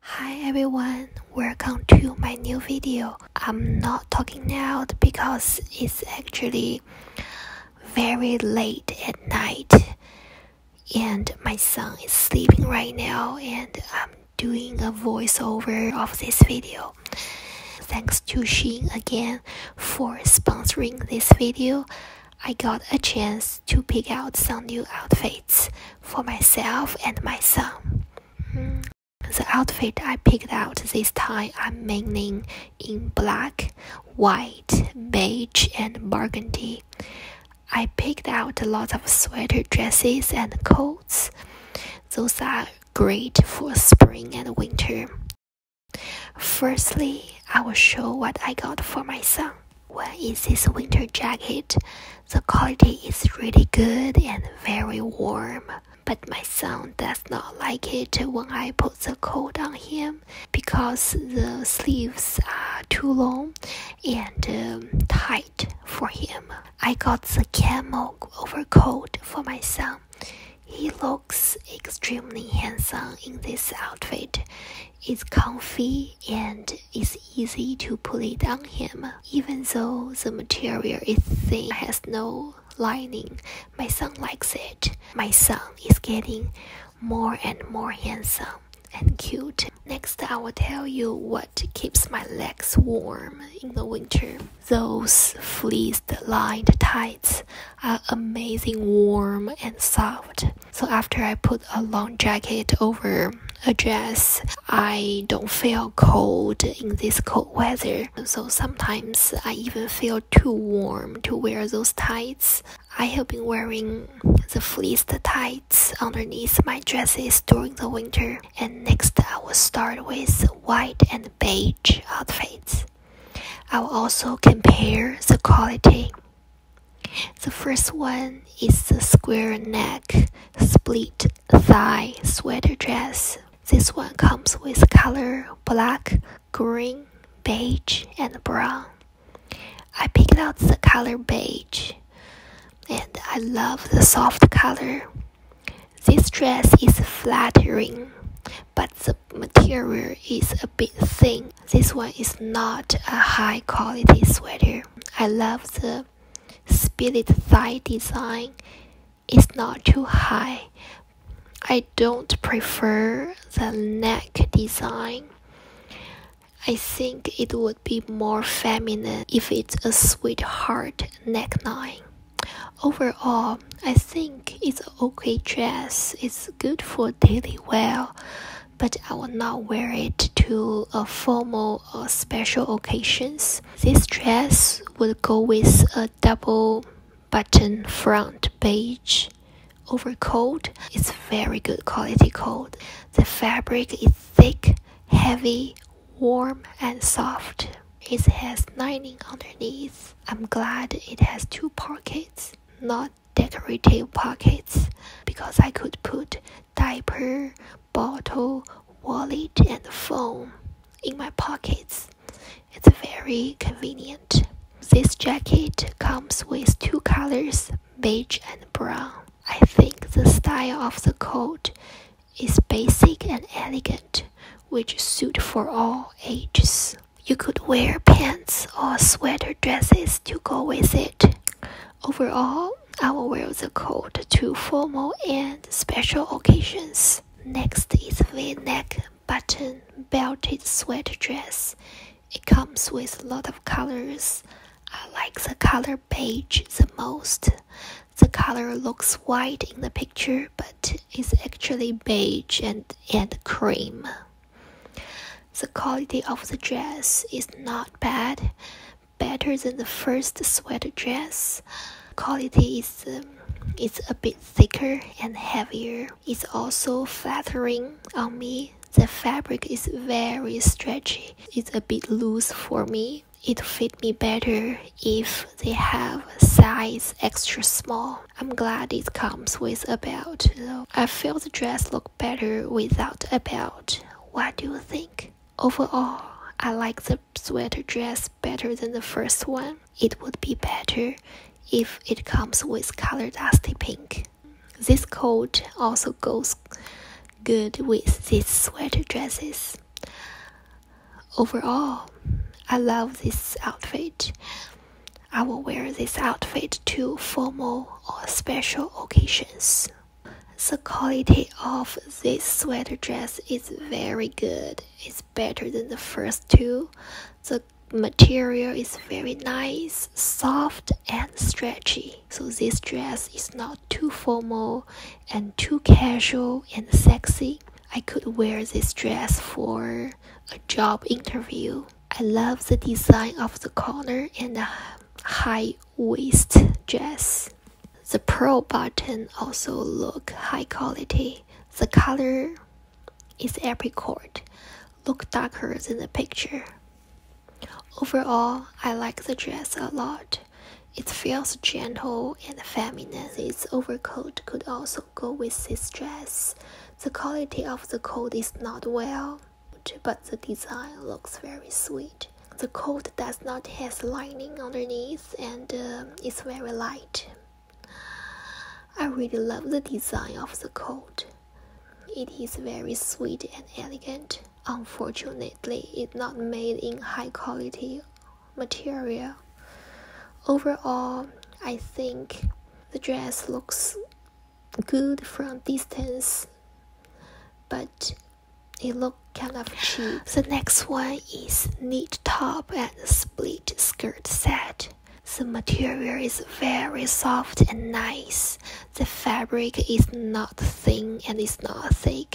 Hi everyone, welcome to my new video. I'm not talking out because it's actually very late at night and my son is sleeping right now and I'm doing a voiceover of this video. Thanks to Shein again for sponsoring this video. I got a chance to pick out some new outfits for myself and my son. The outfit I picked out this time I'm mainly in black, white, beige, and burgundy. I picked out lots of sweater dresses and coats. Those are great for spring and winter. Firstly, I will show what I got for my son. When is this winter jacket? The quality is really good and very warm. But my son does not like it when I put the coat on him because the sleeves are too long and um, tight for him. I got the camel overcoat for my son. He looks extremely handsome in this outfit. It's comfy and it's easy to put it on him. Even though the material is thin, has no lining, my son likes it. My son is getting more and more handsome and cute. Next, I will tell you what keeps my legs warm in the winter. Those fleeced lined tights are amazing warm and soft. So after I put a long jacket over a dress, I don't feel cold in this cold weather. So sometimes I even feel too warm to wear those tights. I have been wearing the fleeced tights underneath my dresses during the winter, and next I will start with white and beige outfits. I will also compare the quality. The first one is the square neck, split thigh sweater dress. This one comes with color black, green, beige, and brown. I picked out the color beige and I love the soft color. This dress is flattering, but the material is a bit thin this one is not a high quality sweater. I love the spirit thigh design. It's not too high. I don't prefer the neck design. I think it would be more feminine if it's a sweetheart neckline. Overall, I think it's an okay dress. It's good for daily wear but I will not wear it to a uh, formal or uh, special occasions. This dress would go with a double button front beige overcoat. It's very good quality coat. The fabric is thick, heavy, warm and soft. It has lining underneath. I'm glad it has two pockets, not decorative pockets because I could put diaper, bottle, wallet, and phone in my pockets. It's very convenient. This jacket comes with two colors, beige and brown. I think the style of the coat is basic and elegant, which suit for all ages. You could wear pants or sweater dresses to go with it. Overall, I will wear the coat to formal and special occasions. Next is V-neck button belted sweater dress. It comes with a lot of colors. I like the color beige the most. The color looks white in the picture, but it's actually beige and, and cream. The quality of the dress is not bad, better than the first sweat dress. Quality is um, a bit thicker and heavier. It's also flattering on me. The fabric is very stretchy. It's a bit loose for me. It fit me better if they have size extra small. I'm glad it comes with a belt, though. I feel the dress look better without a belt. What do you think? Overall, I like the sweater dress better than the first one. It would be better if it comes with color dusty pink. This coat also goes good with these sweater dresses. Overall, I love this outfit. I will wear this outfit to formal or special occasions. The quality of this sweater dress is very good. It's better than the first two. The material is very nice, soft, and stretchy. So this dress is not too formal and too casual and sexy. I could wear this dress for a job interview. I love the design of the collar and the high waist dress. The pearl button also look high quality. The color is apricot, look darker than the picture. Overall, I like the dress a lot. It feels gentle and feminine. Its overcoat could also go with this dress. The quality of the coat is not well, but the design looks very sweet. The coat does not have lining underneath and um, it's very light. I really love the design of the coat. It is very sweet and elegant. Unfortunately, it's not made in high quality material. Overall, I think the dress looks good from distance, but it looks kind of cheap. The next one is knit top and split skirt set. The material is very soft and nice. The fabric is not thin and is not thick.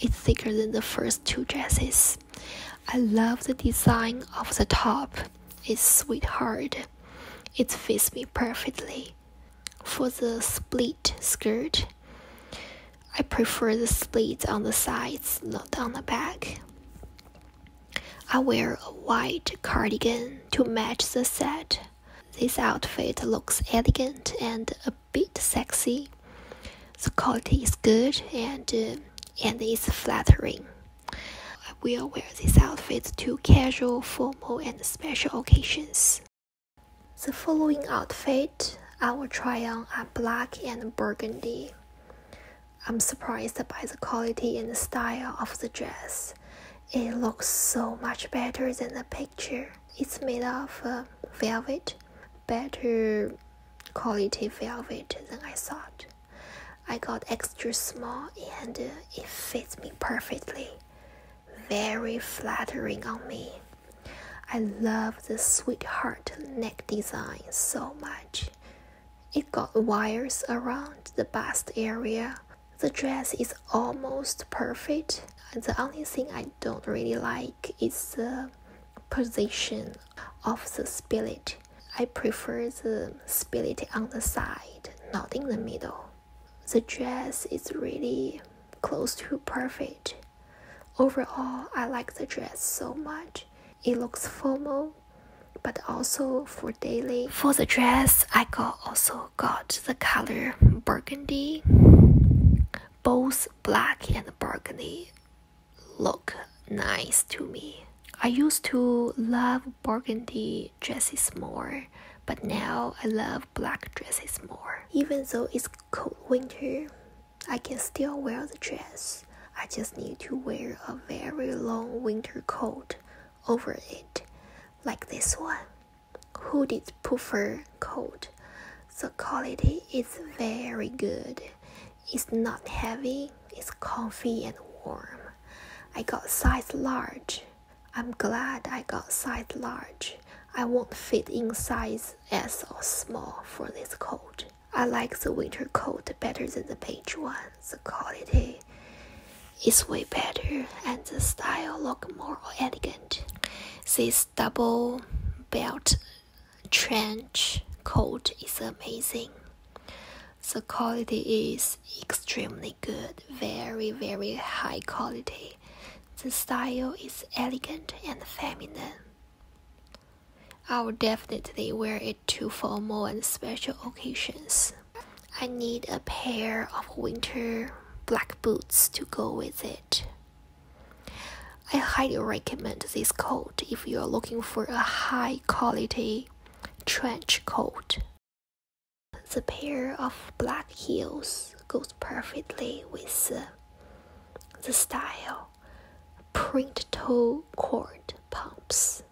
It's thicker than the first two dresses. I love the design of the top. It's sweetheart. It fits me perfectly. For the split skirt, I prefer the slit on the sides, not on the back. I wear a white cardigan to match the set. This outfit looks elegant and a bit sexy. The quality is good and uh, and is flattering. I will wear this outfit to casual, formal, and special occasions. The following outfit I will try on are black and burgundy. I'm surprised by the quality and style of the dress. It looks so much better than the picture. It's made of uh, velvet, better quality velvet than I thought. I got extra small and uh, it fits me perfectly. Very flattering on me. I love the sweetheart neck design so much. It got wires around the bust area. The dress is almost perfect. The only thing I don't really like is the position of the skillet. I prefer the skillet on the side, not in the middle. The dress is really close to perfect. Overall, I like the dress so much. It looks formal, but also for daily. For the dress, I got also got the color burgundy, both black and burgundy look nice to me. I used to love burgundy dresses more, but now I love black dresses more. Even though it's cold winter, I can still wear the dress. I just need to wear a very long winter coat over it, like this one. Hooded puffer coat. The quality is very good. It's not heavy, it's comfy and warm. I got size large. I'm glad I got size large. I won't fit in size S or small for this coat. I like the winter coat better than the beige one. The quality is way better and the style look more elegant. This double belt trench coat is amazing. The quality is extremely good, very, very high quality. The style is elegant and feminine. I will definitely wear it to formal and special occasions. I need a pair of winter black boots to go with it. I highly recommend this coat if you are looking for a high quality trench coat. The pair of black heels goes perfectly with uh, the style. Print toe cord pumps.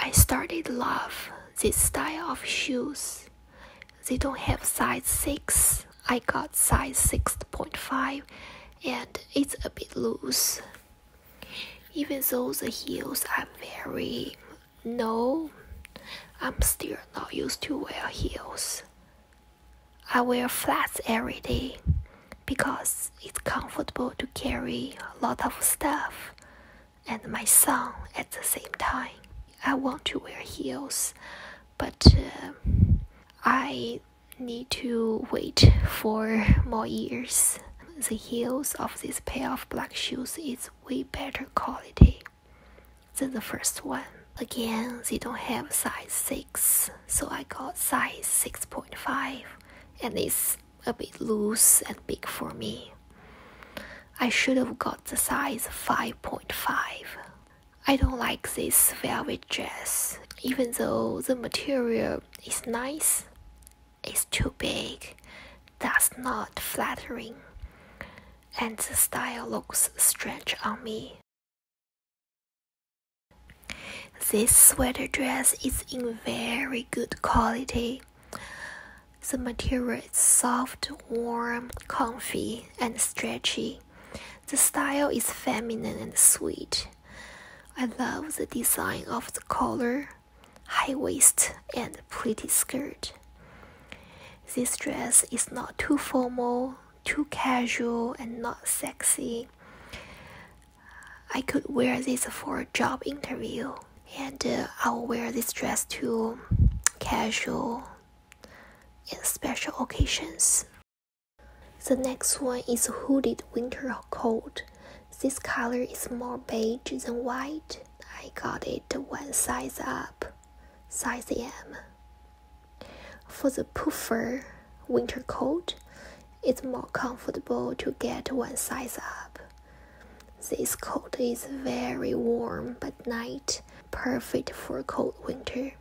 I started love this style of shoes they don't have size 6. I got size 6.5 and it's a bit loose. Even though the heels are very no, I'm still not used to wear heels. I wear flats every day because it's comfortable to carry a lot of stuff and my son at the same time. I want to wear heels, but uh, I need to wait for more years. The heels of this pair of black shoes is way better quality than the first one. Again, they don't have size 6, so I got size 6.5 and it's a bit loose and big for me. I should have got the size 5.5. I don't like this velvet dress, even though the material is nice. It's too big, that's not flattering, and the style looks strange on me. This sweater dress is in very good quality. The material is soft, warm, comfy, and stretchy. The style is feminine and sweet. I love the design of the collar, high waist, and pretty skirt. This dress is not too formal, too casual, and not sexy. I could wear this for a job interview, and uh, I'll wear this dress to casual in special occasions. The next one is hooded winter coat. This color is more beige than white. I got it one size up, size M. For the puffer winter coat, it's more comfortable to get one size up. This coat is very warm but night perfect for cold winter.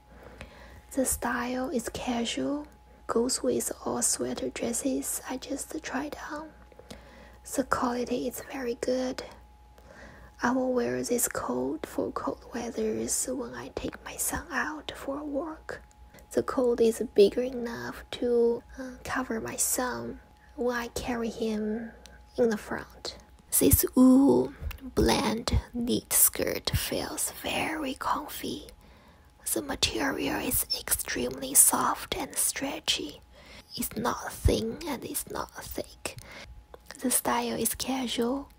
The style is casual, goes with all sweater dresses I just try on. The quality is very good. I will wear this coat for cold weathers when I take my son out for a walk. The coat is bigger enough to uh, cover my son why carry him in the front. This wool blend knit skirt feels very comfy. The material is extremely soft and stretchy. It's not thin and it's not thick. The style is casual.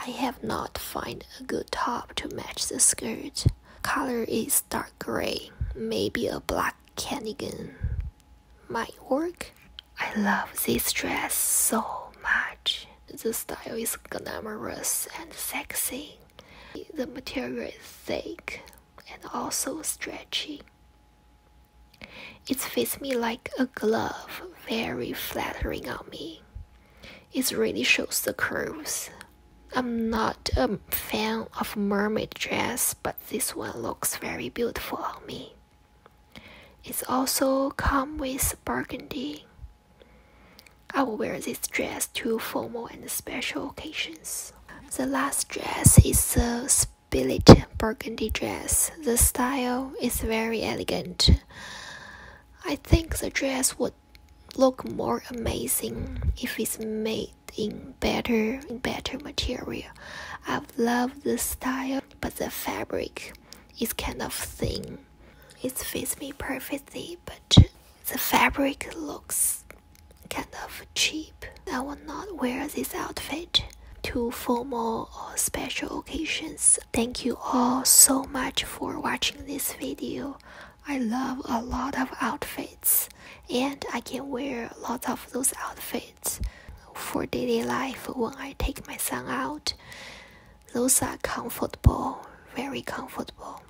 I have not find a good top to match the skirt. Color is dark gray, maybe a black cardigan my work. I love this dress so much. The style is glamorous and sexy. The material is thick and also stretchy. It fits me like a glove, very flattering on me. It really shows the curves. I'm not a fan of mermaid dress, but this one looks very beautiful on me. It's also come with burgundy. I will wear this dress to formal and special occasions. The last dress is a split burgundy dress. The style is very elegant. I think the dress would look more amazing if it's made in better in better material. i love the style, but the fabric is kind of thin. It fits me perfectly, but the fabric looks kind of cheap. I will not wear this outfit to formal or special occasions. Thank you all so much for watching this video. I love a lot of outfits and I can wear lots of those outfits for daily life when I take my son out. Those are comfortable, very comfortable.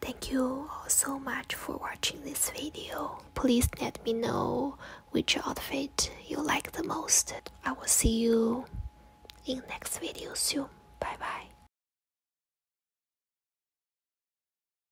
Thank you so much for watching this video. Please let me know which outfit you like the most. I will see you in next video soon. Bye bye.